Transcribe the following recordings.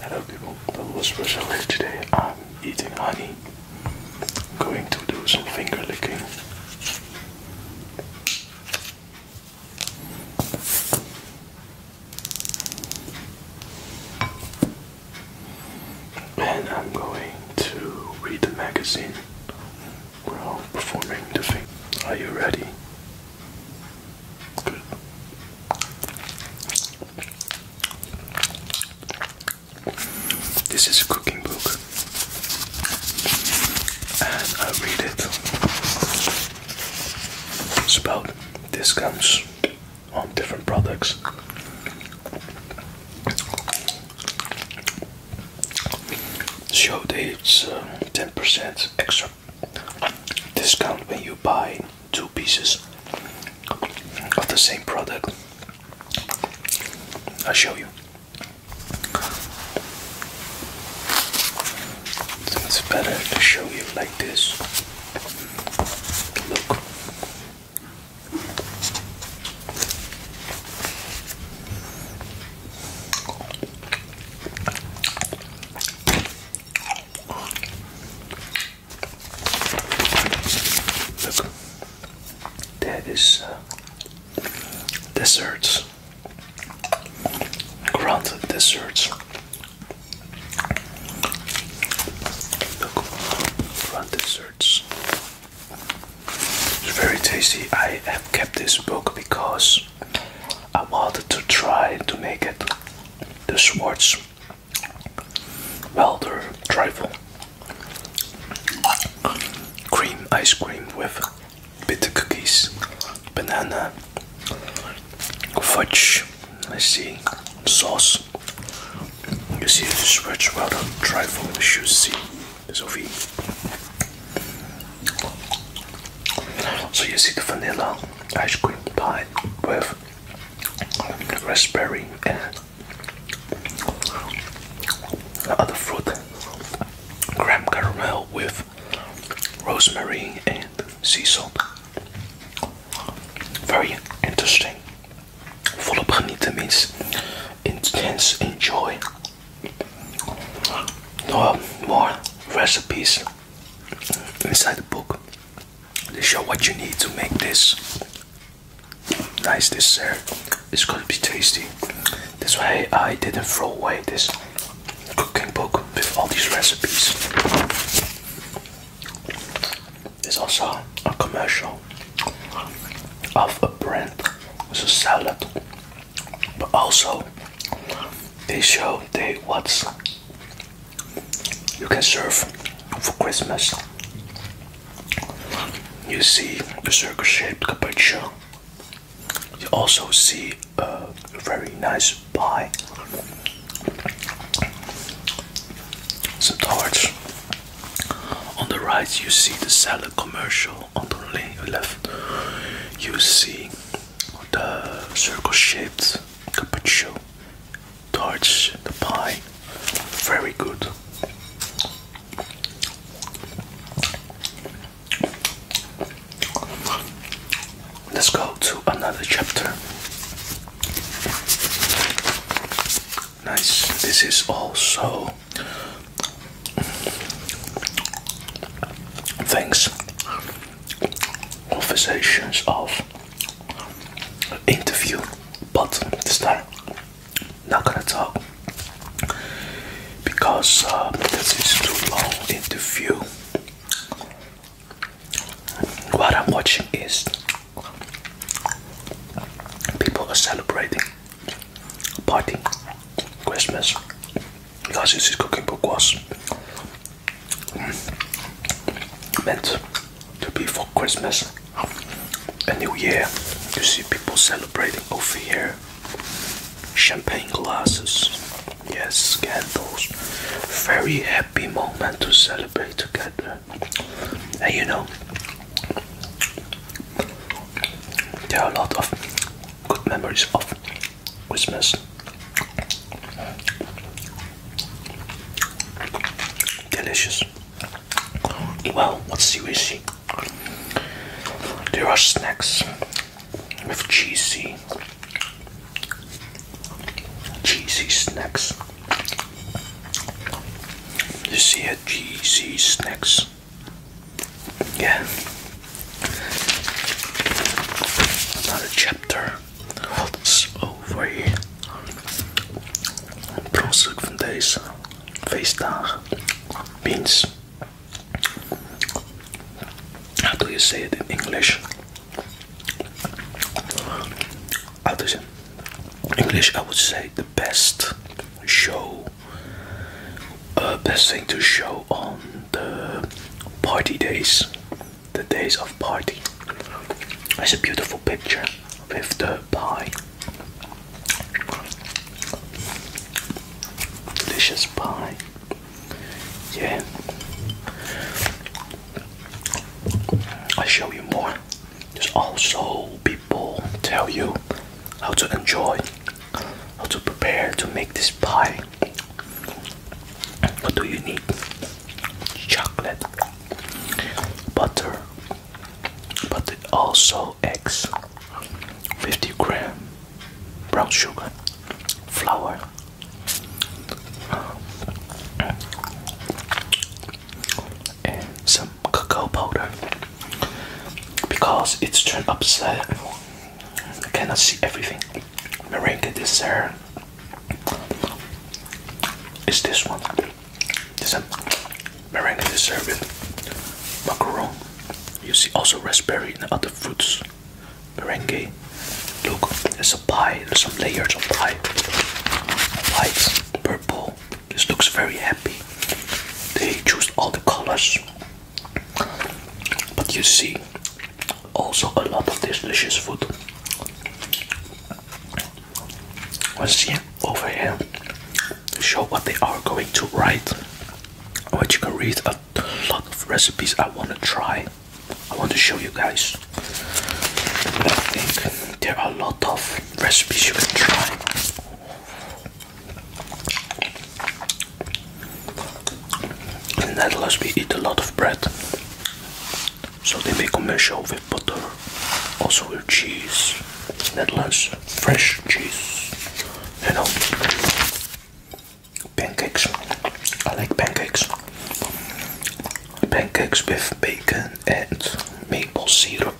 Hello people, The that was Rosalie today. I'm eating honey. I'm going to do some finger licking. And I'm going to read the magazine while performing the thing. Are you ready? This is a cooking book, and I read it. It's about discounts on different products. Show dates, uh, ten percent extra discount when you buy two pieces of the same product. I'll show you. it's better to show you like this. Look, there is uh, desserts, ground desserts. Look, ground desserts. It's very tasty. I have kept this book because I wanted to try to make it the Schwartz Welder Trifle Cream ice cream with bitter cookies, banana, fudge, I see, sauce. You see the Schwartz Welder Trifle, you should see this over here. So you see the vanilla ice cream pie with raspberry and other fruit, graham caramel with rosemary and sea salt. Very interesting. Volop genieten means intense enjoy. No uh, more recipes inside the book they show what you need to make this nice dessert it's gonna be tasty that's why i didn't throw away this cooking book with all these recipes there's also a commercial of a brand with a salad but also they show they what's you can serve for Christmas. You see the circle-shaped capuchin. You also see a very nice pie, some tarts. On the right, you see the salad commercial. On the left, you see the circle-shaped capuccino, towards the pie. Very good. Let's go to another chapter. Nice. This is also things or versions of interview, but this time not gonna talk because uh, this is too long interview. What I'm watching is people are celebrating party, Christmas, because this cooking book was meant to be for Christmas a New Year. You see people celebrating over here. Champagne glasses, yes, candles. Very happy moment to celebrate together. And you know, there are a lot of good memories of Christmas. Delicious. Well, what's the issue? There are snacks with cheesy, cheesy snacks. You see a cheesy snacks. Yeah. Another chapter holds over here. Bronstuk van deze feestdagen. Beans. How do you say it in English? How does it? English, I would say the best show uh, best thing to show on the party days, the days of party. That's a beautiful picture with the pie, delicious pie. Yeah, i show you more. There's also people tell you how to enjoy how to prepare to make this pie. What do you need? Chocolate, butter, but also eggs, 50 gram, brown sugar, flour. And some cocoa powder because it's turned upside. I cannot see everything. Merengue dessert is this one. This is merengue dessert with macaron. You see also raspberry and other fruits. Meringue. Look, there's a pie. There's some layers of pie. White, purple this looks very happy. They choose all the colors. But you see, also a lot of this delicious food. Let's see over here to show what they are going to write. But you can read a lot of recipes I want to try. I want to show you guys. I think there are a lot of recipes you can try. And that Netherlands me eat a lot of bread. So they make a commercial of butter, also with cheese. Netherlands, fresh cheese. You know, pancakes. I like pancakes. Pancakes with bacon and maple syrup.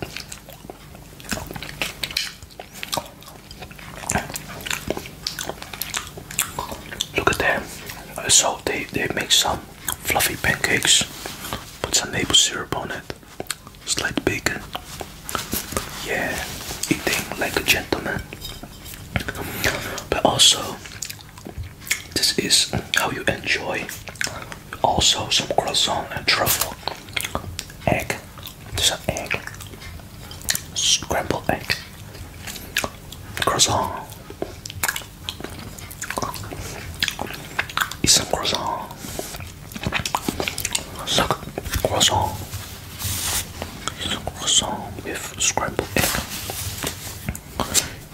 Look at that. Uh, so they, they make some fluffy pancakes, put some maple syrup on it, slight bacon. Yeah, eating like a gentleman. But also, this is how you enjoy also, some croissant and truffle. Egg. some egg. Scrambled egg. Croissant. Eat some croissant. Suck croissant. some croissant with scrambled egg.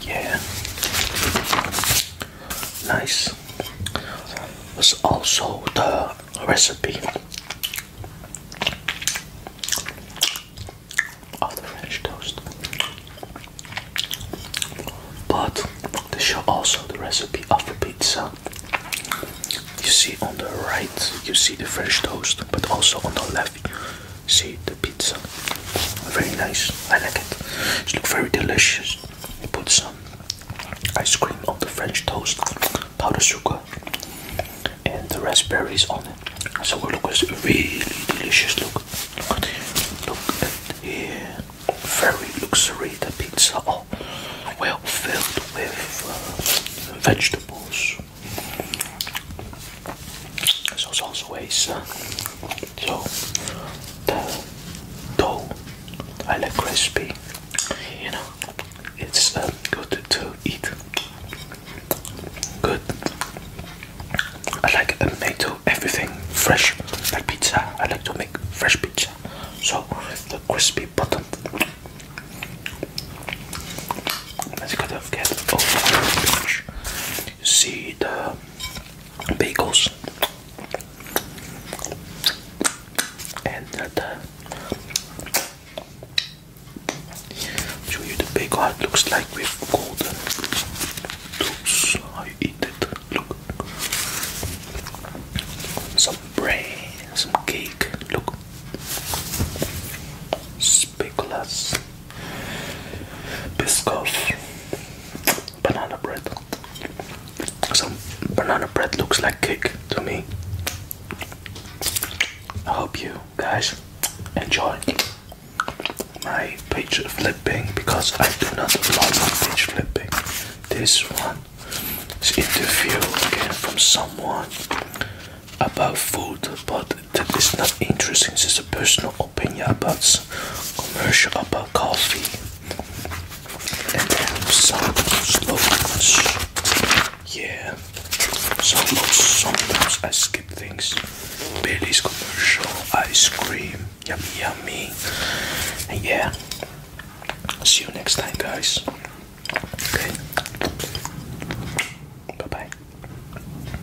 Yeah. Nice. There's also the recipe of the French toast. But they show also the recipe of the pizza. You see on the right, you see the French toast, but also on the left, you see the pizza. Very nice. I like it. It looks very delicious put some ice cream on the French toast, powdered sugar, and the raspberries on it. So it looks really delicious. Look, look at here. Very The pizza, well filled with uh, vegetables. There's also always so the dough, I like crispy. You know, it's uh, good to eat. Good. I like uh, everything fresh, like pizza. I like to make fresh pizza. So the crispy bottom. Let's get off get over see the uh, bagels and the uh, show you the bagel it looks like with golden toast how eat it look some bread some cake look speculas Biscoff banana bread. Some banana bread looks like cake to me. I hope you guys enjoy my page flipping because I do not love page flipping. This one is interview again from someone about food, but that is not interesting. This is a personal opinion about commercial about coffee. And then some slogans. Yeah. Sometimes, sometimes I skip things. Billy's commercial, ice cream, yummy yummy. And yeah. See you next time guys. Okay. Bye bye.